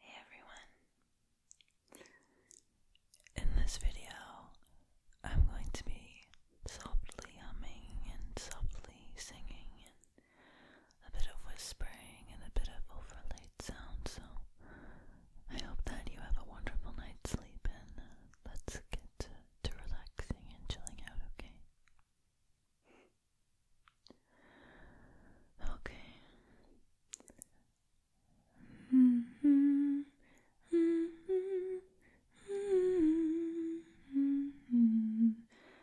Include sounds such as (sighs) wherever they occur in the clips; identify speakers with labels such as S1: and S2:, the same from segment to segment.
S1: Hey everyone. In this video, I'm going to be softly humming and softly singing a bit of whispering, and a bit of overlaid sound. So I hope that you have a wonderful night's sleep, and uh, let's get to, relaxing and chilling out, okay? Okay. Mm-hmm. Mm-hmm. Mm-hmm.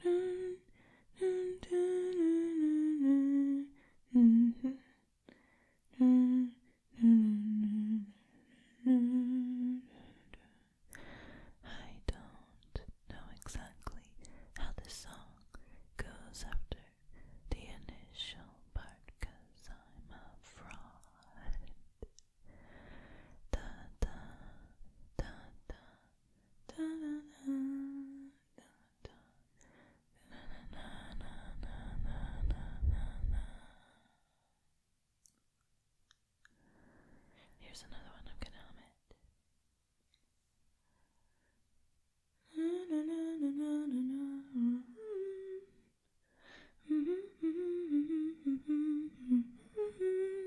S1: I don't
S2: know exactly how the song goes after
S3: the initial part because I'm a fraud
S1: da da Here's another one, I'm gonna hum it.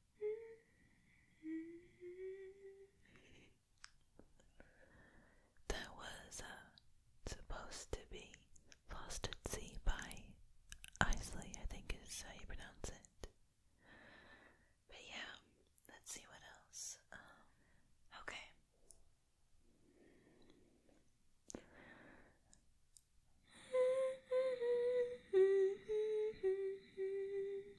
S1: That was uh, supposed to be lost at sea by Isley, I think is how you pronounce it. But yeah, let's see what else. Um, okay. (laughs)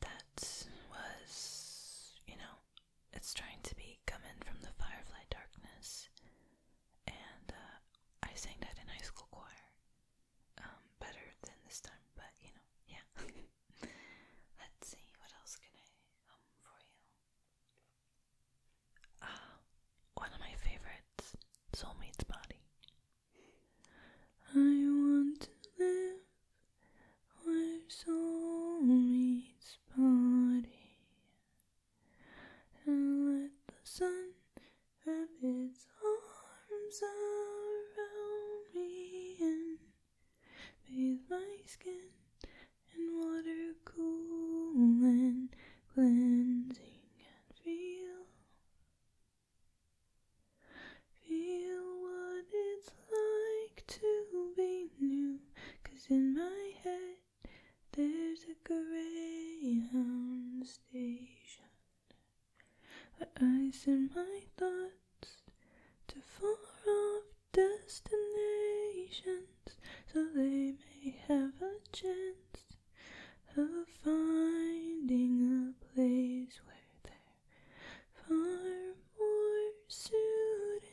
S2: That was,
S3: you know, it's trying to be coming from the firefly darkness, and uh, I sang that in high school choir. Um, better than this time, but you know, yeah. (laughs) Let's see, what else can I hum for you? Ah, one of my favorites, Soulmate's
S2: Body.
S1: I want to live
S2: where soul meets and let the sun have its arms around me and bathe my skin in water cool and cleansing and feel feel what it's like to be new cause in my head there's a greyhound station where I send my thoughts to far off destinations so they may have a chance of finding a place where they're far more suited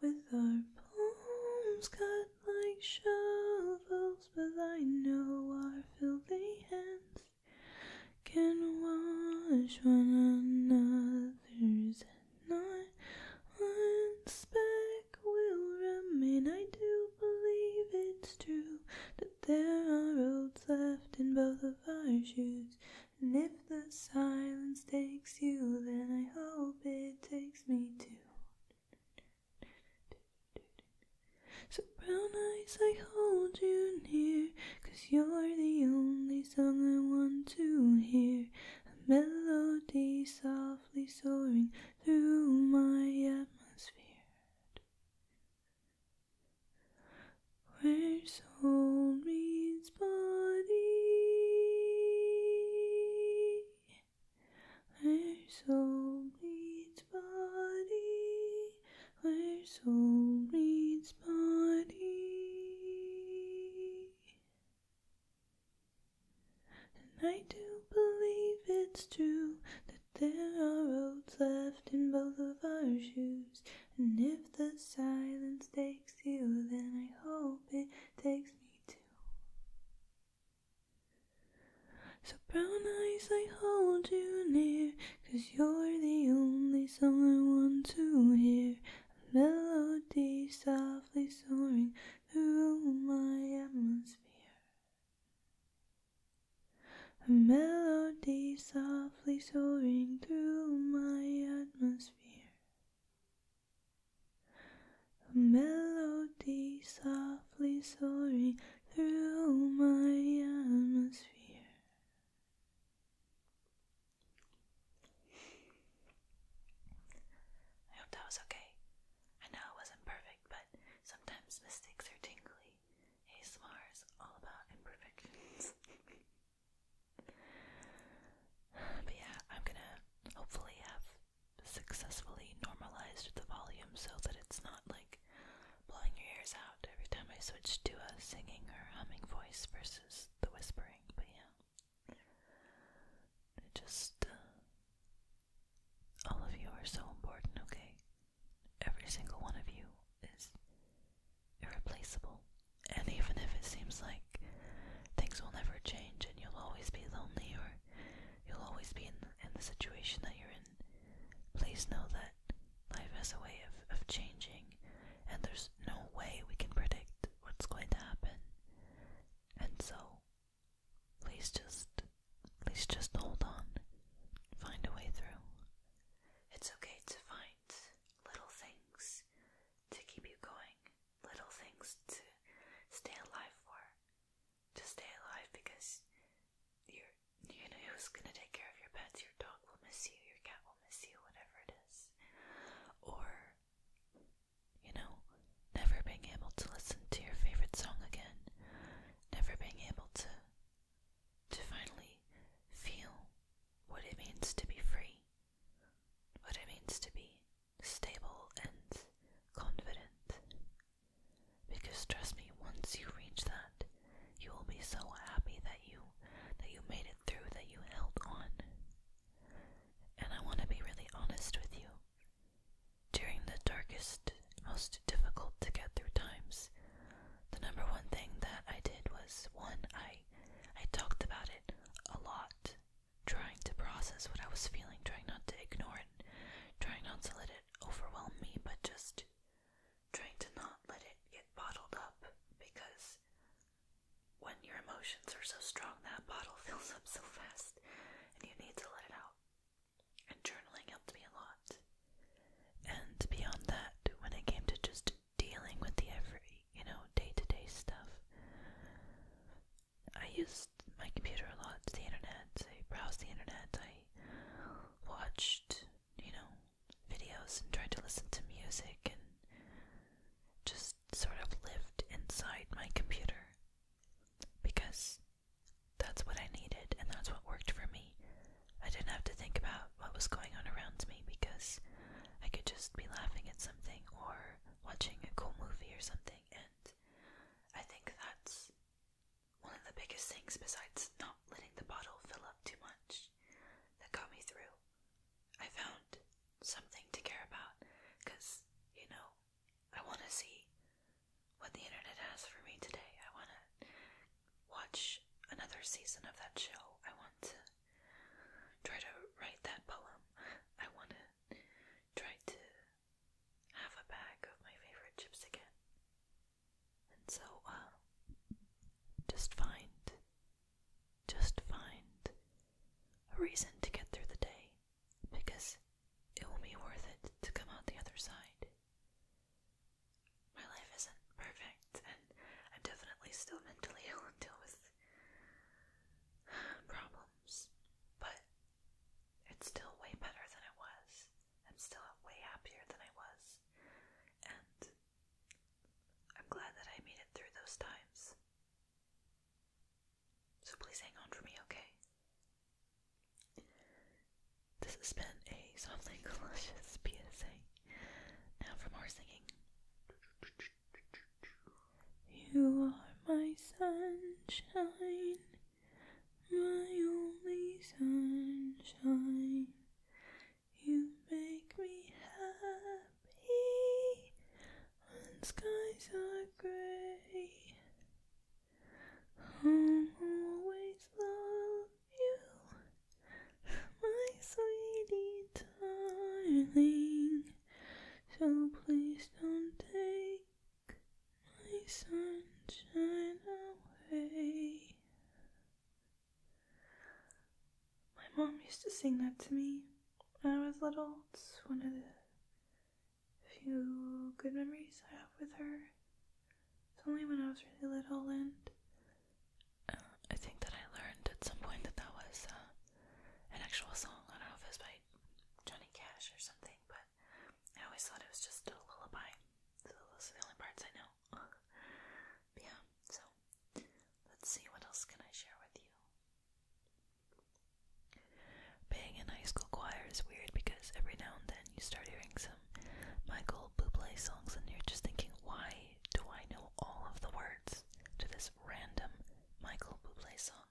S2: with our palms cut like shovels, but I know our filthy hands can wash one another's and not one speck will remain. I do believe it's true that there are roads left in both of our shoes, and if if the silence takes you, then I hope it takes me too. So, brown eyes, I hold you near, cause you're the only song I want to hear. A melody softly soaring through my atmosphere. where old its body. soul breathes body. Her soul breathes body. And I do believe it's true that there are roads left in both of our shoes. And if the silence takes you, then I hope it takes me. So brown eyes, I hold you near, cause you're the only song I want to hear. A melody softly soaring through my atmosphere. A melody softly soaring through my atmosphere. A melody softly soaring through my atmosphere. I hope that was okay.
S3: I know it wasn't perfect, but sometimes mistakes are tingly. ASMR is all about imperfections. (laughs) But yeah, I'm gonna hopefully have successfully normalized the volume so that it's not like blowing your ears out every time I switch to a singing or humming voice versus the whispering. But yeah, just uh, all of you are so important, okay? Every single one of you is irreplaceable. And even if it seems like things will never change and you'll always be lonely or you'll always be in the, situation that you're in, please know that life has a way of, of changing and there's no way we can predict what's going to happen. And so, please just, please just hold on. Find a way through. It's okay to find little things to keep you going little things to stay alive for. To stay alive because you you know who's gonna take care of your pets. Your dog will miss you, your cat will miss you, whatever it is. Or, you know, never being able to listen to your favorite song again. Never being able to to finally feel what it means to be free what it means to be stable and confident. Because trust me, once you reach that, you will be so happy that you that you made it through, that you held on. And I want to be really honest with you. During the darkest, most difficult to get through times, the number one thing that I did was one, I I talked about it a lot Trying to process what I was feeling, trying not to ignore it, trying not to let it overwhelm me, but just trying to not let it get bottled up because when your emotions are so strong, that bottle (laughs) fills up so fast and you need to let it out. And journaling helped me a lot. And beyond that, when it came to just dealing with the every, you know, day to day stuff. I used my computer a lot, the internet. I browsed the internet. I watched, you know, videos and tried to listen to music and just sort of lived inside my computer because that's what I needed and that's what worked for me. I didn't have to think about what was going on around me because I could just be laughing at something or watching a cool movie or something, and I think that's one of the biggest things besides not letting the bottle fill up too much that got me through. I found something to care about because, you know, I want to see what the internet has for me today. I want to watch another season of that show. I want to try to write that poem. I want to tried to have a bag of my favorite chips again. And so, um, just find, just find a reason to get through the day because it will be worth it to come out the other side. My life isn't perfect, and I'm definitely still mentally (laughs) ill and deal with problems, but it's still way better than it was. I'm still way happier than I was, and I'm glad that I made it through those times. So please hang on for me, okay? This has been a (laughs) softly delicious PSA. Now for more singing.
S2: You are my sunshine, my only sunshine. You make me happy when skies are gray. I'll always love you, my sweetie darling. So please don't take my sunshine away. My mom used to sing that to me when I was little. It's one of the few good memories I have with her. It's only when I was really little, and uh,
S3: I think that I learned at some point that that was uh, an actual song. I don't know if it by Johnny Cash or something, but I always thought it was just a lullaby. So those are the only parts I know. (laughs) yeah, so let's see what else can I share with you. Being in high school choir is weird because every now and then you start hearing some Michael Bublé songs and you're just thinking, why do I know all of the words to this random Michael Bublé song,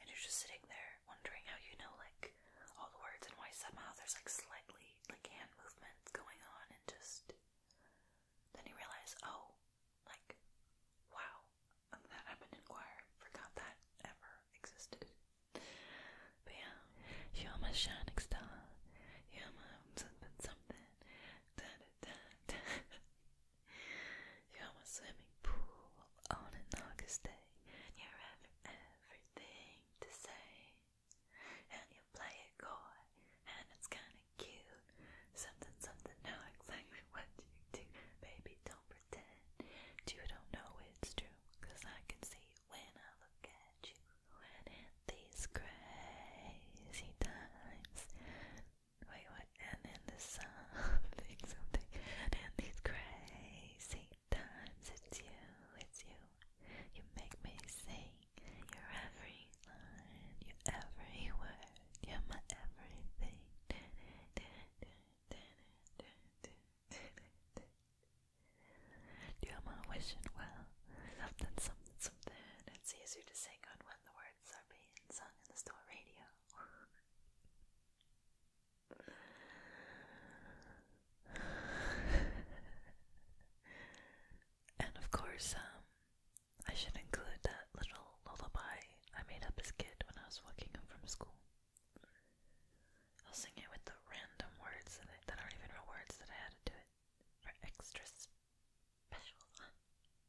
S3: and you're just sitting there wondering how you know like all the words and why somehow there's like slightly like hand movements going on, and just then you realize, oh, like wow, that happened in choir. Forgot that ever existed. But yeah, you're my shining star. You're my something something. Da, da, da, da. (laughs) You have a swimming pool on an August day, you have everything to say. And you play a chord, and it's kinda cute. Something, something, know exactly what you do. Baby, don't pretend you don't know it's true, I can see when I look at you. And these crazy times, Wait, what? And in the something, (laughs) something. And these crazy times, it's you, it's you. You make me sing your every line, your every word. You're my everything. You're my wishing well. Something, something, something. It's easier to sing on when the words are being sung in the store radio. (laughs) and of course, um, I should include that little lullaby I made up as a kid when I was walking home from school. I'll sing it with the random words that, I, that not even real words that I had to do it for extra
S2: special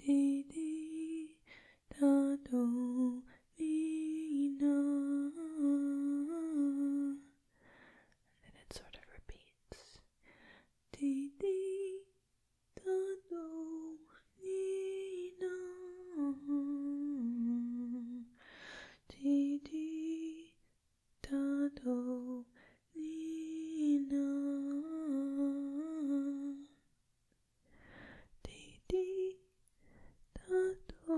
S2: di di da do mi na. And then it sort of repeats. Di di da do mi na. Di
S1: di
S2: da do lean
S1: on. Dee dee, da do,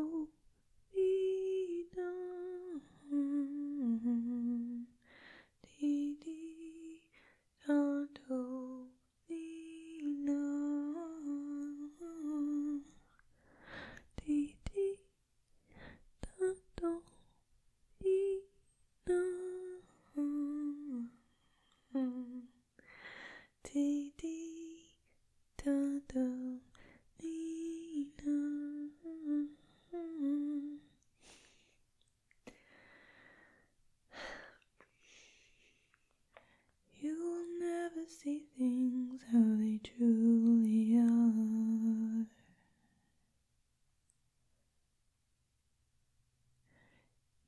S1: dee da.
S2: Dee dee, da do, dee da. Dee dee, da do, dee Dee dee da do dee You will never see things how they truly are.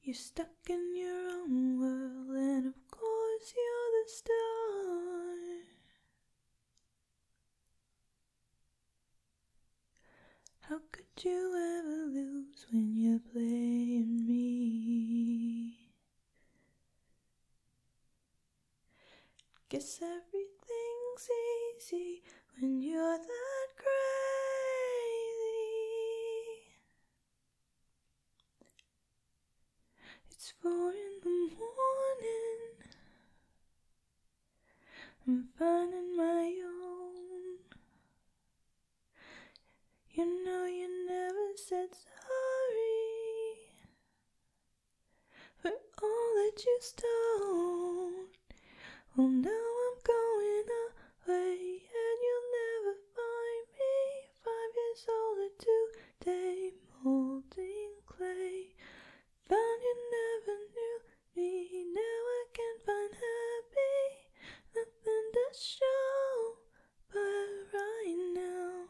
S2: You're stuck in your own world, and of course, you're the star. How could you ever lose when you're playing me? Guess everything's easy when you're that crazy. It's four in the morning. I'm finding my own. You know, you never said sorry for all that you stole. Well, now I'm going away, and you'll never find me. Five years older today, molding clay. Found you never knew me. Now I can find happy. Nothing to show, but right now,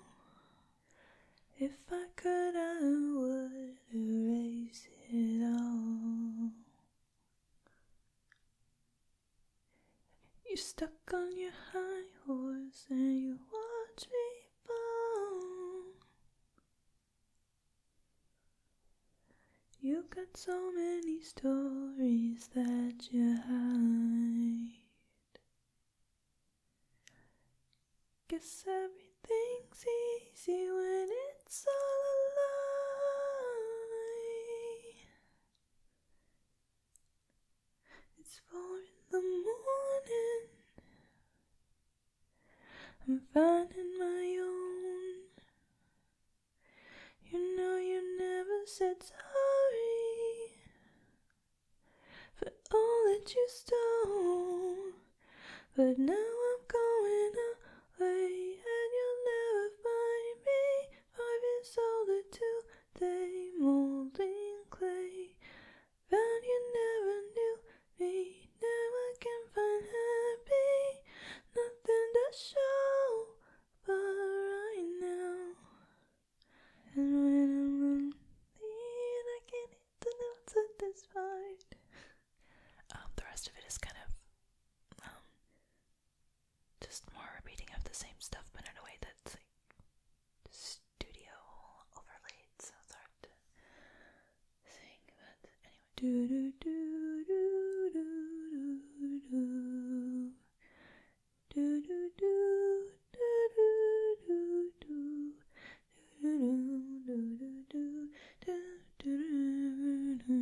S2: if I could, I would erase it all. You stuck on your high horse and you watch me fall. You have got so many stories that you hide. Guess everything's easy when it. It's all a lie. It's four in the morning. I'm finding my own. You know, you never said sorry for all that you stole. But now I'm going out and you'll never find me. I've been soldered to day, molding clay. But you never knew me. Now I can find happy, nothing to show but right now. And when I'm lonely, I can hit the notes satisfied
S3: the rest of it is kind of just more repeating of the same stuff, but in a way that's like studio overlaid,
S2: so it's hard to sing. But anyway,
S1: I don't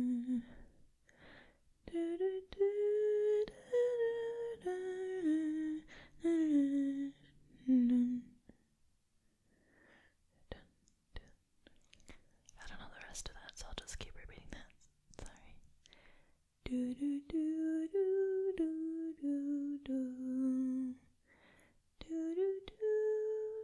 S3: know the rest of that, so I'll just keep repeating that. Sorry.
S2: Do
S1: do do do do do do do do do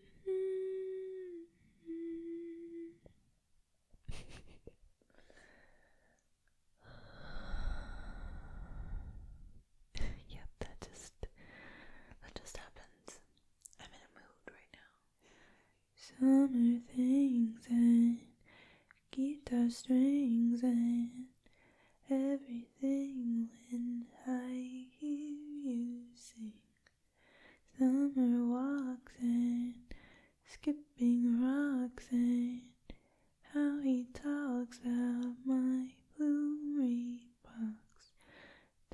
S1: (sighs) yep,
S2: that just that just happens. I'm in a mood right now. Summer things and guitar strings and everything when I hear you summer walks and skipping rocks and how he talks about my blue box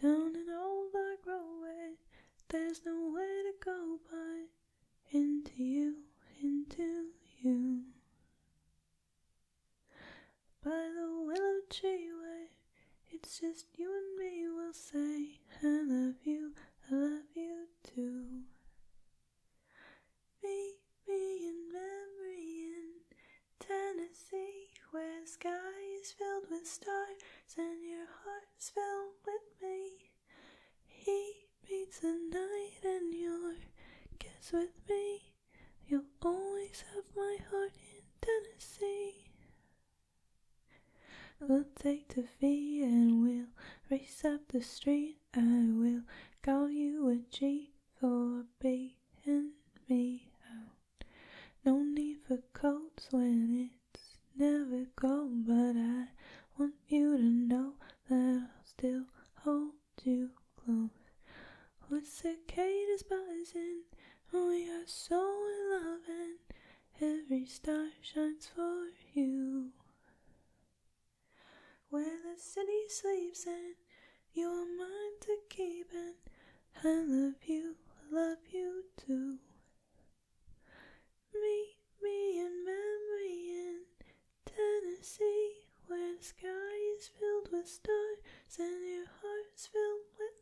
S2: down an old dark roadway there's nowhere to go but into you into you by the willow tree way, it's just you and me. We'll say, I love you, I love you too. Meet me in memory in Tennessee, where the sky is filled with stars and your heart's filled with me. Heat me tonight, and you'll kiss with me. You'll always have my heart in Tennessee. We'll take the fee and we'll race up the street. I will call you a G for being me out. No need for coats when it's never cold, but I want you to know that I'll still hold you close with cicadas buzzing. We are so in love, and every star shines for you. Where the city sleeps, and you're mine to keep, and I love you, love you too. Meet me in memory in Tennessee, where the sky is filled with stars and your heart's filled with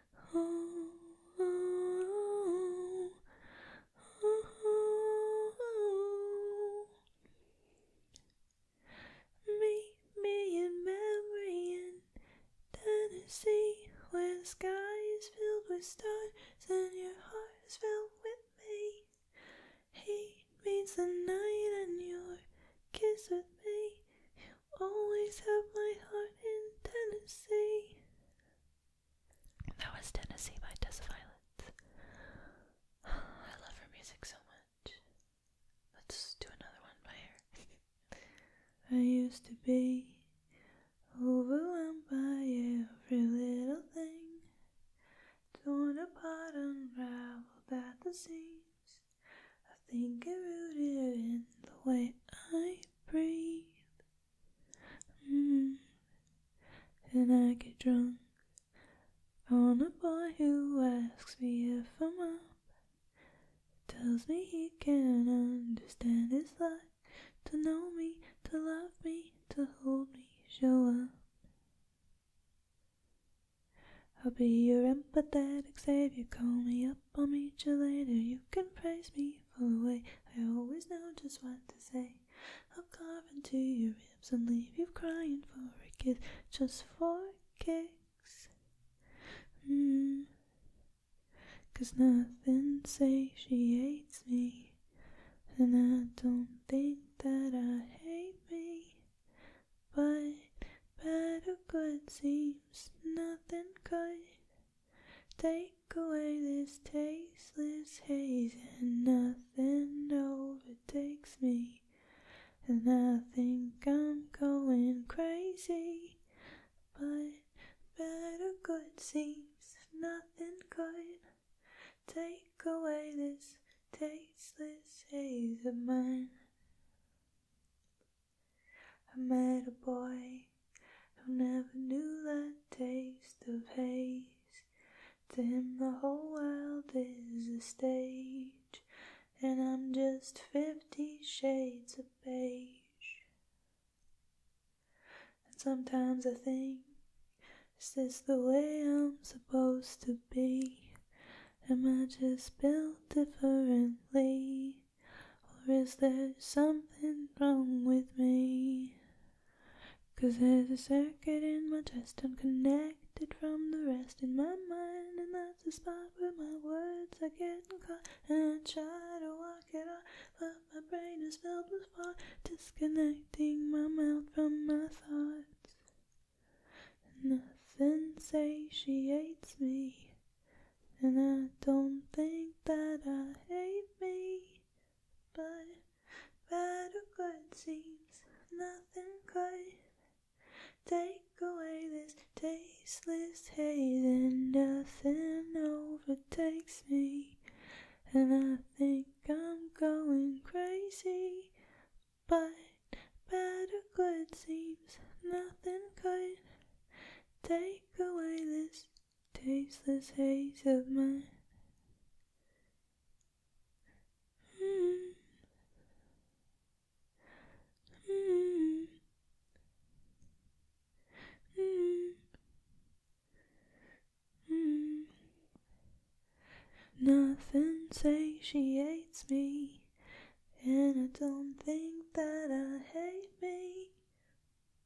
S2: Meet me in memory in Tennessee, where the sky is filled with stars and your heart is filled with me. He means the night and your kiss with me. Always have my heart in Tennessee. That was Tennessee by Tessa (sighs) I love her music so much. Let's do another one by her. (laughs) I used to be overwhelmed by every little thing, torn apart, unraveled at the seams. I think it rooted in the way I breathe. Mm. And I get drunk on a boy who asks me if I'm up. Tells me he can understand his life to know me, to love me, to hold me, show up. I'll be your empathetic savior, call me up up I'll meet you later. You can praise me for the way I always know just what to say. I'll carve into your ribs and leave you crying for a kiss, just for kicks. Mm. Cause nothing hates me, and I don't think that I hate me. But better good seems nothing good. Take away this tasteless haze, and nothing overtakes me. And I think I'm going crazy, but better good seems nothing good. Take away this tasteless haze of mine. I met a boy who never knew that taste of haze. To him, the whole world is a stage, and I'm just fifty shades of beige. And sometimes I think, is this the way I'm supposed to be? Am I just built differently? Or is there something wrong with me? 'Cause there's a circuit in my chest, i from the rest in my mind, and that's the spot where my words are getting caught. And I try to walk it off, but my brain is filled with thought, disconnecting my mouth from my thoughts. Nothing she hates me and I don't think that I hate me, but better good seems nothing could take away this tasteless hate, and nothing overtakes me. And I think I'm going crazy, but better good seems nothing could take away this tasteless haze of mine.
S1: Mm. Mm. Mm.
S2: Nothing satiates me, and I don't think that I hate me.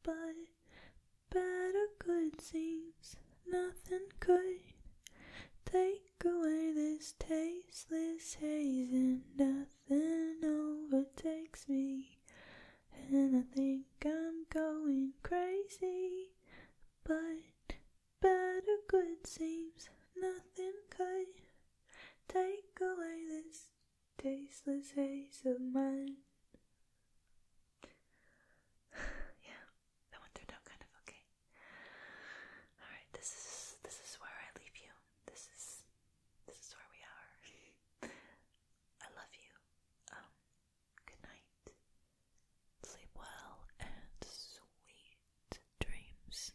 S2: But better good seems nothing could take away this tasteless haze, and nothing overtakes me. And I think I'm going crazy, but better good seems nothing could take away this tasteless haze of mine. (sighs) yeah,
S3: that one turned out kind of okay. Alright, this is this is where I leave you. This is this is where we are. (laughs) I love you. Um, good night.
S1: Sleep well and sweet dreams.